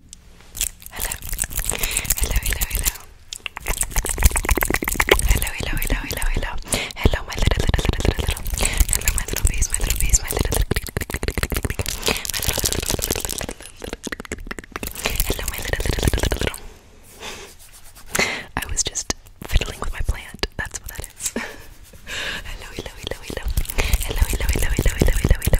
Hello. Hello, hello, hello. Hello, hello, hello, hello, hello. Hello, my little, little, little, little, little. Hello, my little bees, my little bees, my little. My little, little, little, little, little, little. Hello, my little, little, little, little, little. I was just fiddling with my plant. That's what that is. hello, hello, hello, hello. Hello, hello, hello, hello, hello, hello, hello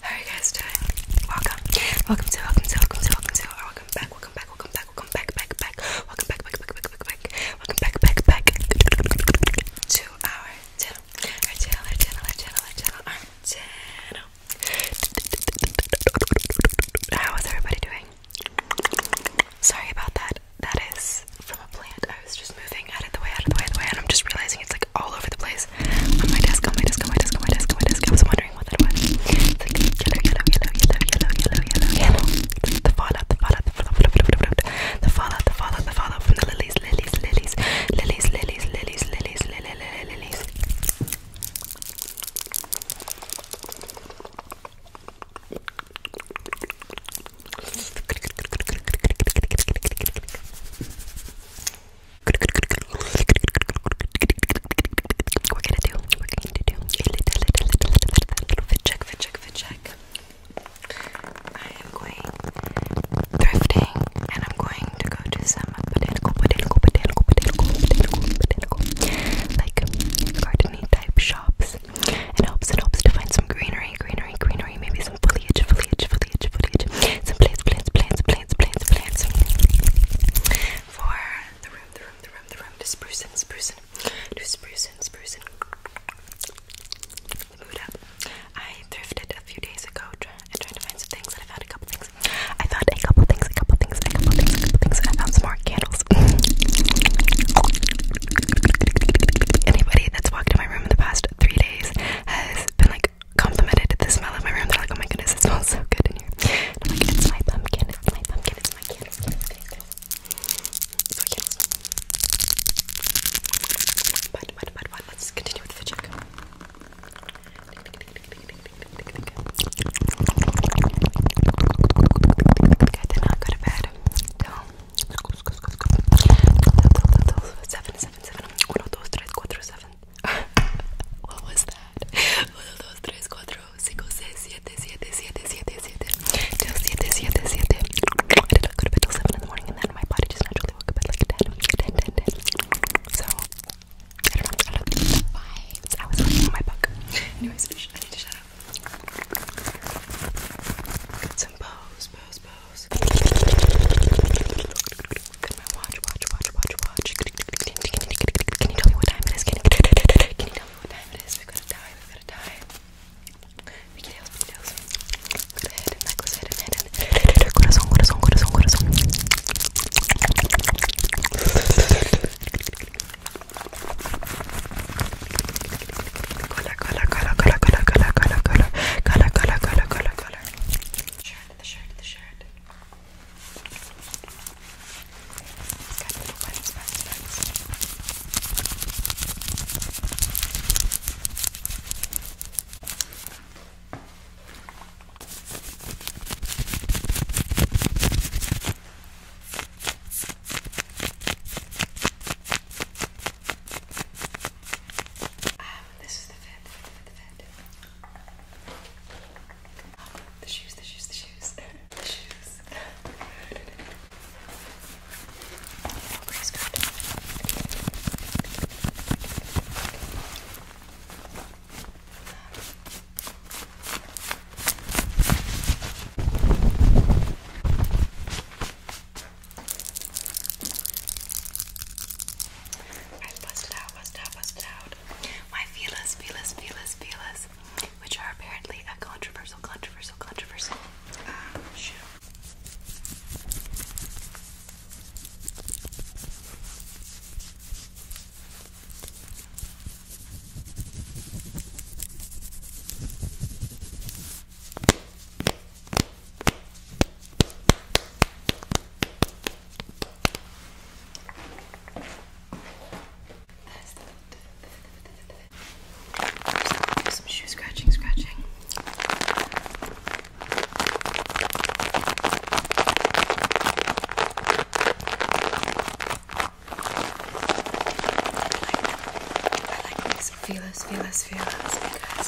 How are you guys doing? Welcome. Welcome to welcome to welcome to welcome to or welcome back, welcome back, welcome back, welcome back, back, back, welcome back, back, back, back, back, back, welcome back, back, back to our channel. Our channel, our channel, our channel, our channel, our channel. How is everybody doing? Sorry about that. That is from a plant. I was just moving out of the way, out of the way, out of the way, and I'm just realizing it's like all over the place. On my desk, on my desk, on my desk, on my desk, on my desk. I was wondering what that was. It's like yellow, yellow, yellow, yellow, yellow, yellow, yellow, yellow. The fallout, the fallout, the fallout, the fallout, the fallout, the fallout from the lilies, lilies, lilies, lilies, lilies, lilies, lilies, lilies, lilies. I am going thrifting, and I'm going to go to some botanical, botanical, like gardening type shops. It helps, it helps to find some greenery greenery, maybe some foliage, foliage, foliage, foliage, some plants, plants, plants, plants, plants, plants. For the room, the room, the room, the room, to spruce and spruce and spruce and spruce and mood up. I thrifted a few days ago try, and tried to find some things, and I found a couple things. I found a couple things, a couple things, a couple things, a couple things. I found some more candles. Anybody that's walked in my room in the past three days has been like complimented the smell of my room. They're like, oh my goodness, it smells so good in here. it's my pumpkin, it's my pumpkin, it's my candles, it's my candles. It's let's continue with the check. did not go to bed Seven, seven, seven. Uno, What was that? Uno, dos, I did not go to bed till seven in the morning, and then my body just naturally woke up at like So I don't know. I I was reading oh my book. Anyways, I need to shut up. Get some pose, pose, pose nose. Look at my watch, watch, watch, watch, watch. Can you tell me what time it is? Can you, can you tell me what time it is? We're gonna die, we're gonna die. Mickey Dale's, Mickey Dale's. Good head, necklace head, and head, and head. Corazón, corazón, corazón, corazón. Cola, cola, cola, cola, cola, cola, cola, cola, cola, cola, cola, cola, cola, color. Shirt, the shirt, the shirt. It's got little buttons, buttons, buttons. Um, this is the fit, the shoes, the shoes, the shoes, the shoes. oh, Grace got Alright, bust it out, bust it out, bust it out. My feelers, feelers, feelers, feelers, which are apparently a controversial, controversial, controversial uh, do some shoe scratching, scratching. I like, I like these feelers, feelers, feelers because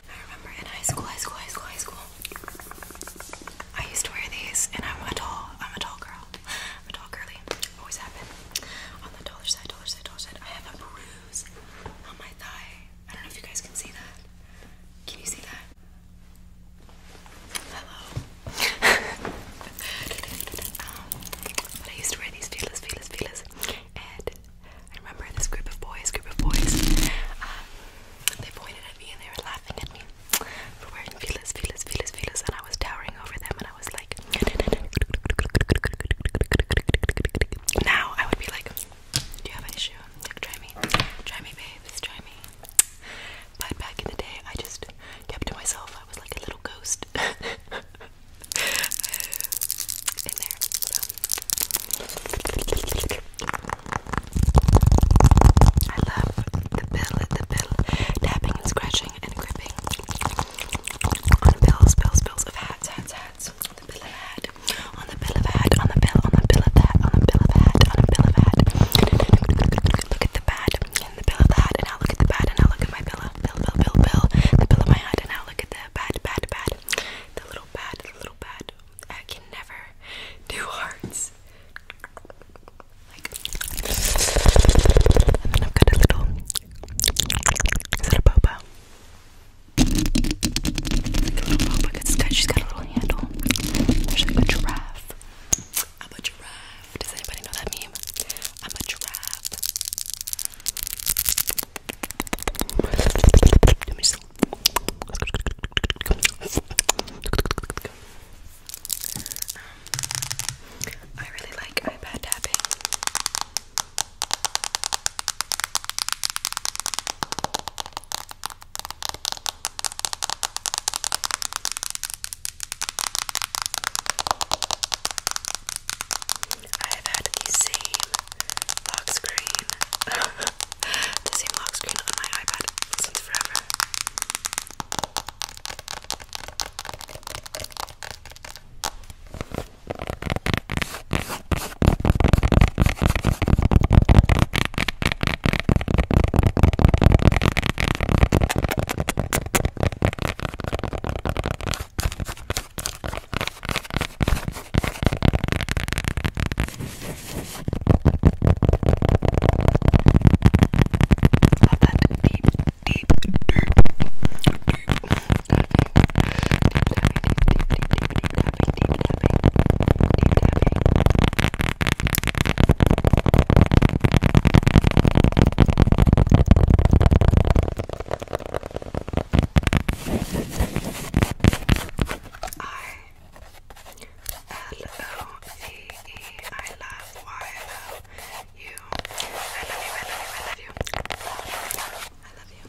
I remember in high school, high school, high school, high school. I used to wear these, and I'm a tall, I'm a tall girl. I'm a tall girly. Always happen. On the dollar side, dollar side, dollar side. I have a bruise on my thigh. I don't know if you guys can see that. Can you see that? Hello. I used to wear these feelers, feelers, feelers, and I remember this group of boys, group of boys. Um, they pointed at me and they were laughing at me for wearing feelers, feelers, feelers, feelers, and I was towering over them and I was like Now I would be like, Do you have an issue? try me. Try me, babes, try me. But back in the day I just kept to myself. I was like a little ghost in there. I love the pill, the pill, tapping and scratching and gripping on pills, pills, pills of hats, hats, hats. The pill of hat, on the pill of hat, on the pill, on the pill of hat, on the pill of hat, on the pill of hat. Look at the bat the pill of the hat, and now look at the bat, and now look at my pillow, pill, pill, pill, the pill of my hat, and now look at the bat, bat, bat, the little bat, the little bat. I can never do hearts. and then I've got a little. Is that a boba? Like a little boba. she's got a little handle. There's like a giraffe. I'm a giraffe. Does anybody know that meme? I'm a giraffe. Um, I really like iPad tapping. I have had the same lock screen the same lock screen on my iPad since forever. Love that deep, deep, deep, deep, deep, I L-O-V-E. Y-O-U. I love you, I love you, I love you. I love you.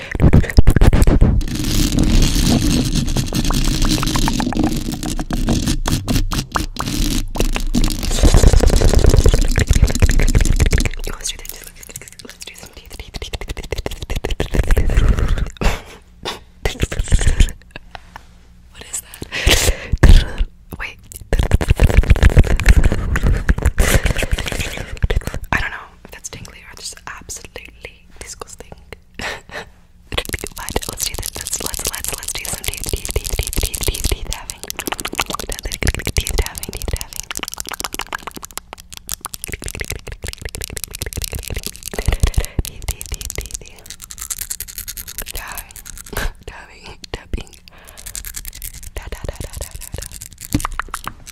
Let's do this. Let's do some teeth. teeth, teeth, teeth. what is that? Wait. I don't know know if that's tingly or just absolutely disgusting. but let's do this. Let's let's let's let's do some teeth teeth teeth teeth teeth teeth teeth tapping. Teeth tapping, teeth tapping. Teeth teeth teeth teeth teeth. Tapping, tapping, tapping. Da da da da da da da.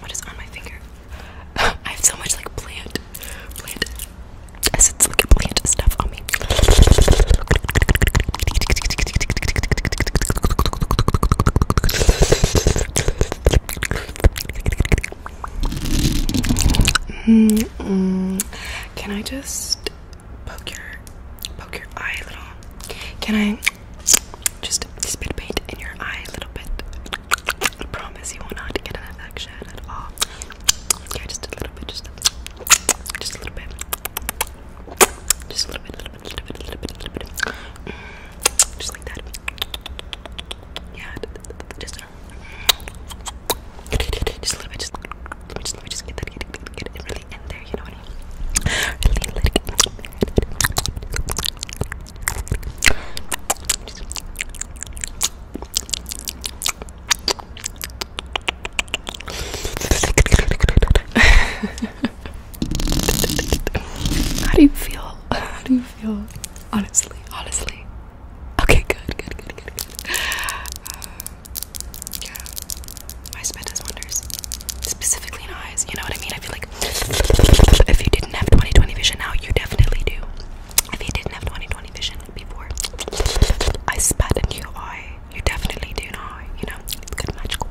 What is on my finger? I have so much like plant, plant. I said like plant stuff on me. Mm Can I just poke your poke your eye a little? Can I just spit paint in your eye a little bit? I promise you will not get an infection at all. just a little bit, just a little bit, just a little bit just like that. Yeah, just, uh, just a little bit. Just just, let me just get that, get, get, get it really in there. You know what I mean? Really let it. How do you feel? How do you feel? Honestly, honestly. Okay, good, good, good, good, good. my um, spit does wonders. Specifically in eyes, you know what I mean? I feel like if you didn't have 20 vision now, you definitely do. If you didn't have 20 vision before, I spat in your eye. You definitely do now. You know, it's good magical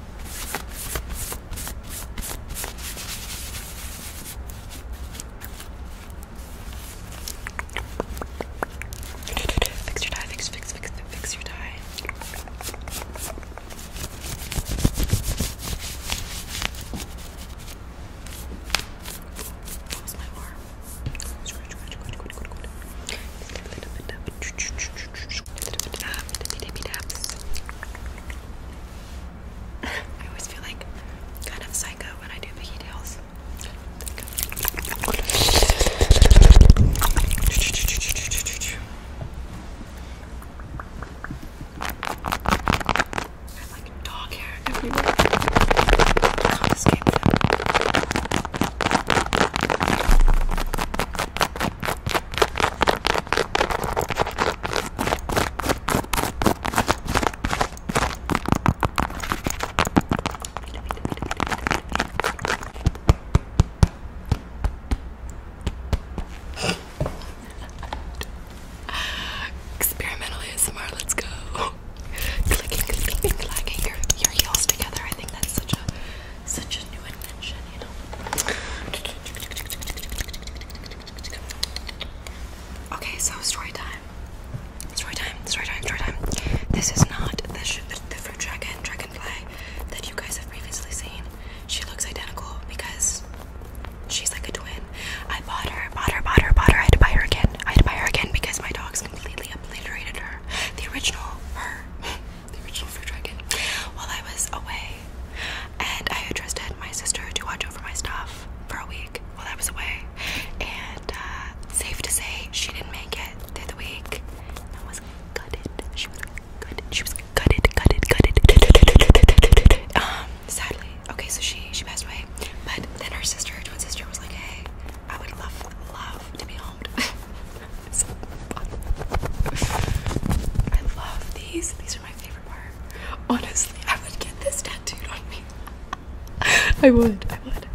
Fix your tie, fix, fix, fix, fix your tie. That my arm. Scratch, scratch, scratch, scratch, scratch. Just a little bit of I always feel like kind of psycho when I do piggy tails. I have like dog hair everywhere. Experimental let's go. clicking, clicking, clicking your, your heels together. I think that's such a such a new invention, you know. Okay, so story time. Story time, story time, story time. This is not the, the fruit dragon, dragonfly that you guys have previously seen. She looks identical because she's like a twin. I bought her, bought her, bought her, bought her. I had to buy her again. I had to buy her again because my dogs completely obliterated her. The original her. the original Fruit Dragon, while I was away. And I entrusted my sister to watch over my stuff for a week while I was away. And uh, safe to say, she didn't make it through the week. I was gutted. She was gutted. She was gutted, gutted, gutted. um, sadly. Okay, so she she passed away. But then her sister, her twin sister, was like, "Hey, I would love love to be homed." I love these. These are my favorite part. Honestly, I would get this tattooed on me. I would. I would.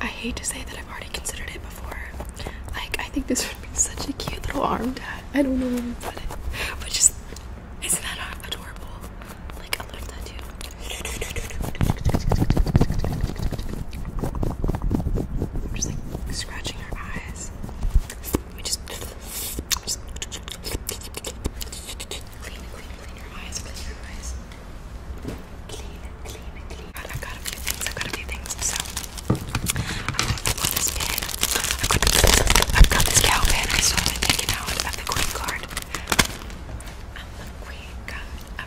I hate to say that I've already considered it before. Like, I think this would be such a cute little arm tattoo. I don't know where to put it. But just, isn't that adorable? Like, a little tattoo scratching her eyes. We just, just clean, clean, clean her eyes, clean her eyes. Clean, clean, clean. But I've got a few things, I've got a few things. So, I've got this pin, I've got, I've got this cow pin. I still haven't taken out of the queen card. I'm the queen card.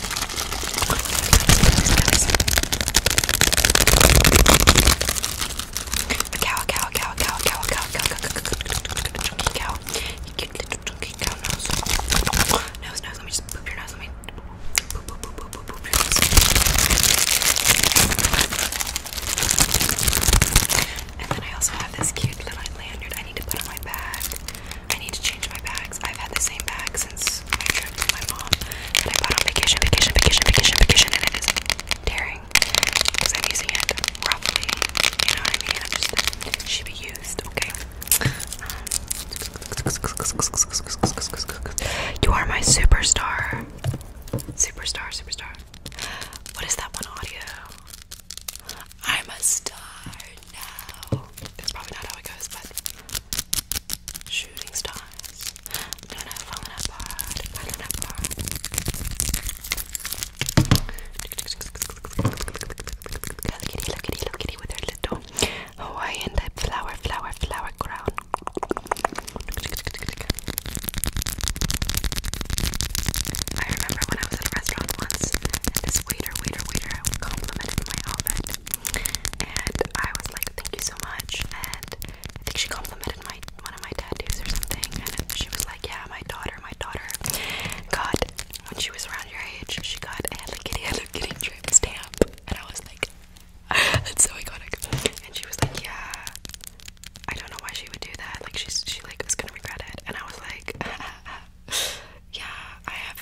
Cow, cow, cow, cow, cow, cow, cow, cow, cow, cow, nose, nose, let me just poop your nose, let me poop, poop, poop, poop, poop, poop your nose. And then I also have this cute little lanyard I need to put on my bag. I need to change my bags. I've had the same bag tearing because I'm using it roughly. You know what I mean? I should be used, okay? Um, you are my superstar. Superstar, superstar. What is that one audio? I'm a star now. That's probably not how it goes, but Shooting stars. No, no, falling apart. Falling apart. Hello Kitty, hello Kitty, hello Kitty with her little Hawaiian type flower, flower, flower crown. I remember when I was at a restaurant once, and this waiter, waiter, waiter complimented my outfit and I was like, thank you so much, and I think she complimented my one of my tattoos or something, and she was like, yeah, my daughter, my daughter got, when she was around your age, she got a little Kitty, Hello Kitty drip stamp, and I was like, "And so I got iconic, and she was like, yeah, I don't know why she would do that, like, she's, she like, was gonna regret it, and I was like, yeah, I have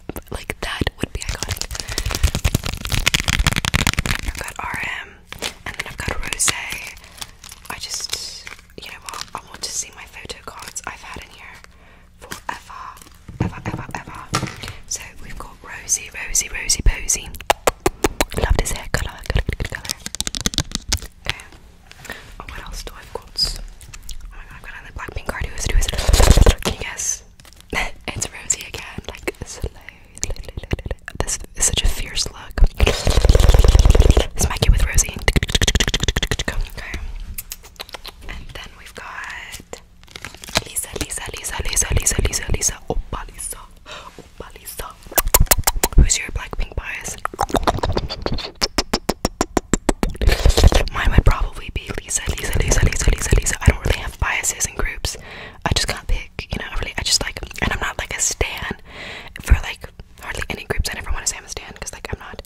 like that would be iconic. I've got RM, and then I've got Rose. I just, you know what? I want to see my photo cards I've had in here forever, ever, ever, ever. So we've got Rosie, Rosie, Rosie, Posy. Love this hair color. Oh, what else do I've got? Oh my god, I've got another Blackpink card. Who is it? Who is it? Can you guess? it's Rosie again, like slow. This is such a fierce look. Smack it with Rosie. Okay. And then we've got Lisa, Lisa, Lisa, Lisa, Lisa, Lisa, Lisa, Opa Lisa, Opa Lisa. Who's your Blackpink bias? Mine would probably be Lisa, Lisa, Lisa, Lisa, Lisa, Lisa. I don't really have biases in groups. I just can't pick, you know, I really, I just like, and I'm not like a stan for like hardly any groups. I never want to say I'm a stan because like I'm not,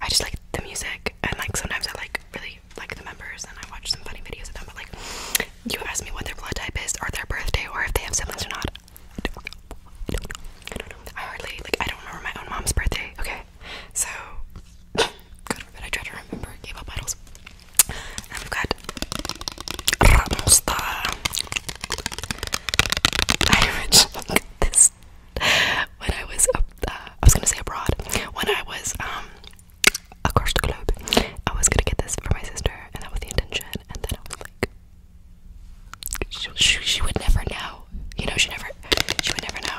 I just like the music and like sometimes I like really like the members and I watch some funny videos of them, but like you ask me what their blood type is or their birthday or if they have siblings or not. I hardly, like, I don't remember my own mom's birthday, okay? So, God forbid I try to remember K pop idols. And have got Ramosta. I this when I was uh, I was gonna say abroad. When I was um across the globe, I was gonna get this for my sister, and that was the intention. And then I was like, she, would never know. You know, she never, she would never know.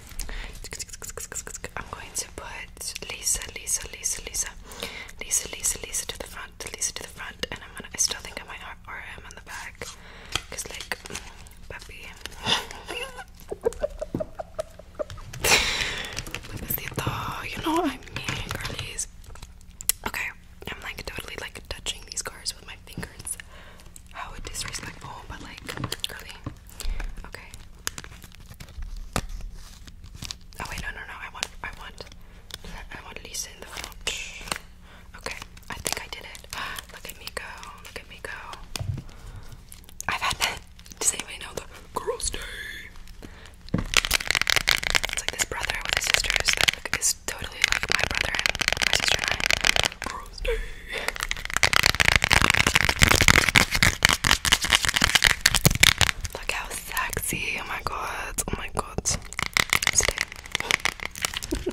I'm going to put Lisa, Lisa, Lisa, Lisa, Lisa, Lisa, Lisa to the front, Lisa to the front, and I'm gonna. I still think I might or him on the back, cause like, mm, puppy. you know what I mean, girlies. Okay, I'm like totally like touching these cars with my fingers. How disrespectful, but like, curly. Okay. Oh wait, no, no, no. I want, I want, I want Lisa in the front. Okay, I think I did it. Look at me go. Look at me go. I've had that. Does anybody know the girls' day? It's like this brother with his sisters that is totally my brother and my sister and I. Look how sexy. Oh my god. Oh my god.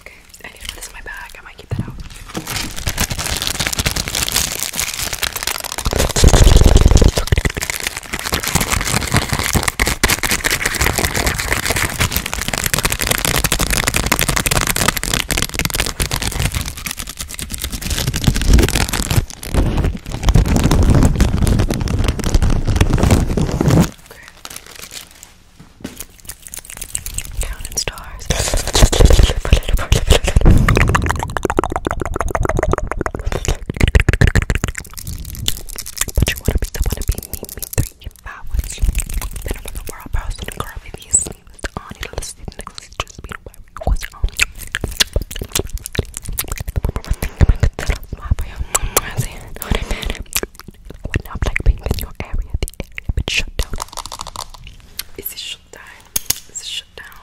okay, I need to put this in my bag. I might keep that out. Counting stars. but you wanna be the wanna be me, me three that was then the world person to girl with these things on it let's see the next just be aware what's on when I'm like being in your area the area shut down It's a shut down is it shut down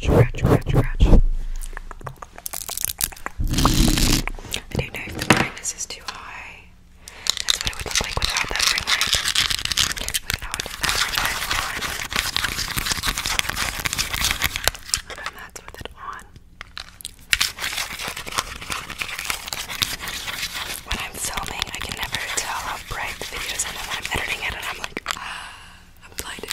Scratch, scratch, scratch, scratch. I don't know if the brightness is too high. That's what it would look like without that ring light. Without that ring on. And that's with it on. When I'm filming, I can never tell how bright the videos are. And when I'm editing it, and I'm like, ah, I'm blinded.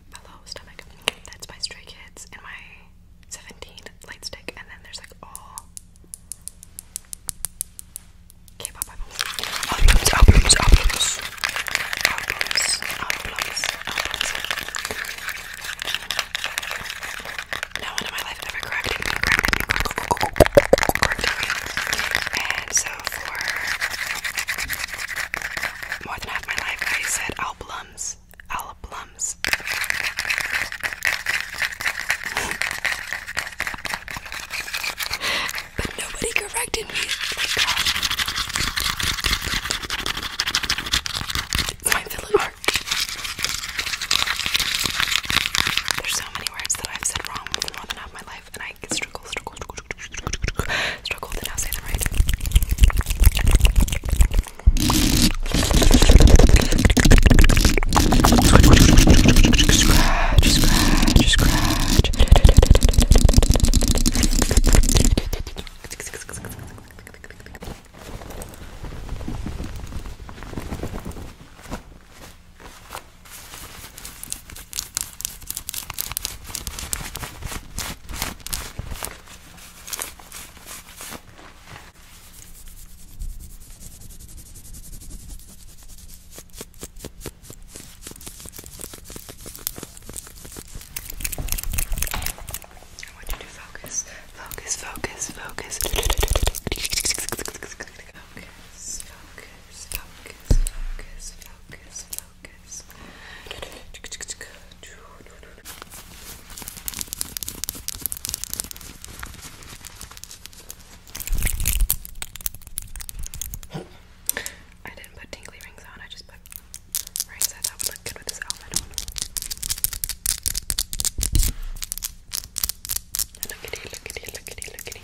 Hello Stomach. That's my Stray Kids and my 17 light stick. And then there's like all albums. Albums, albums, albums. Albums, albums, No one in my life ever corrected me. Corrected me. And so for more than half my life I said albums. Albums. but nobody corrected me. It's my filler mark. There's so many words that I've said wrong more than half my life and I struggle, struggle, struggle, struggle to now say them right. Scratch, scratch, scratch. I want you to focus, focus, focus, focus. Focus, focus, focus, focus, focus. I didn't put tingly rings on, I just put rings I thought would look good with this outfit Look at it, look at it, look at it, look at it.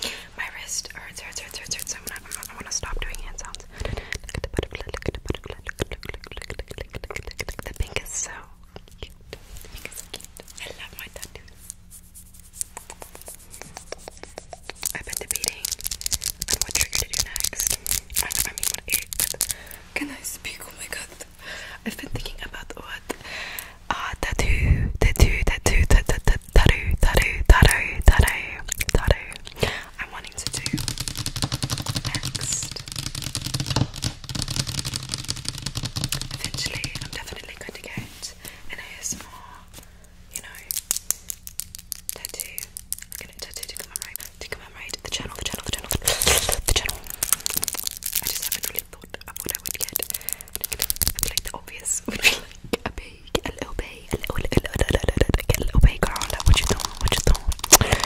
Okay. My wrist hurts, hurts, hurts, hurts, hurts. I'm gonna, I'm gonna, I wanna stop doing hand sounds. Look at the butterfly, look at the butterfly, look at the butterfly, look at the pink is so cute. The pink is so cute. I love my tattoos. I've been debating on what trigger to do next. I, I mean, what age, but can I speak? Oh my god. I've been thinking about what uh, tattoo, tattoo, tattoo, tattoo, tattoo, tattoo, tattoo, tattoo, tattoo. I'm wanting to do next. Eventually, I'm definitely going to get an ASMR, you know, tattoo. going to tattoo to commemorate, to commemorate the channel, the channel, the channel, the channel. I just haven't really thought of what I would get like obvious like a big, a little big, a little, a little, a little, a little, a little big girl. Like, what you doing? What you doing? Okay.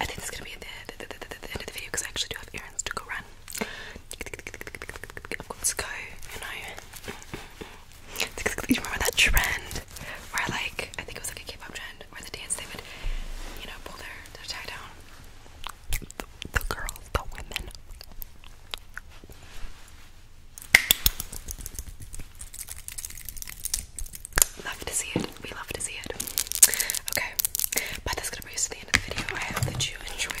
I think this is gonna be the, end of the video because I actually do have errands to go run. I've got to go, you know. Do you remember that trend where, like, I think it was like a K-pop trend where the dance they would, you know, pull their tie down the, the girls, the women. Love to see it. We love to see it. Okay, but that's gonna bring us to the end of the video. I hope that you enjoyed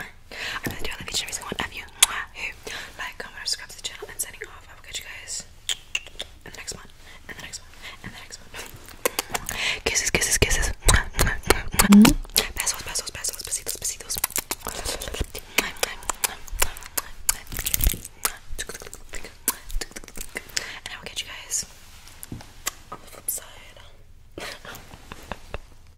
I'm gonna do another each and every single one of you who like, comment, subscribe to the channel, and signing off. I will catch you guys in the next one, in the next one, in the next one. Kisses, kisses, kisses. Besos, besos, besos, besitos, besitos. And I will catch you guys on the flip side.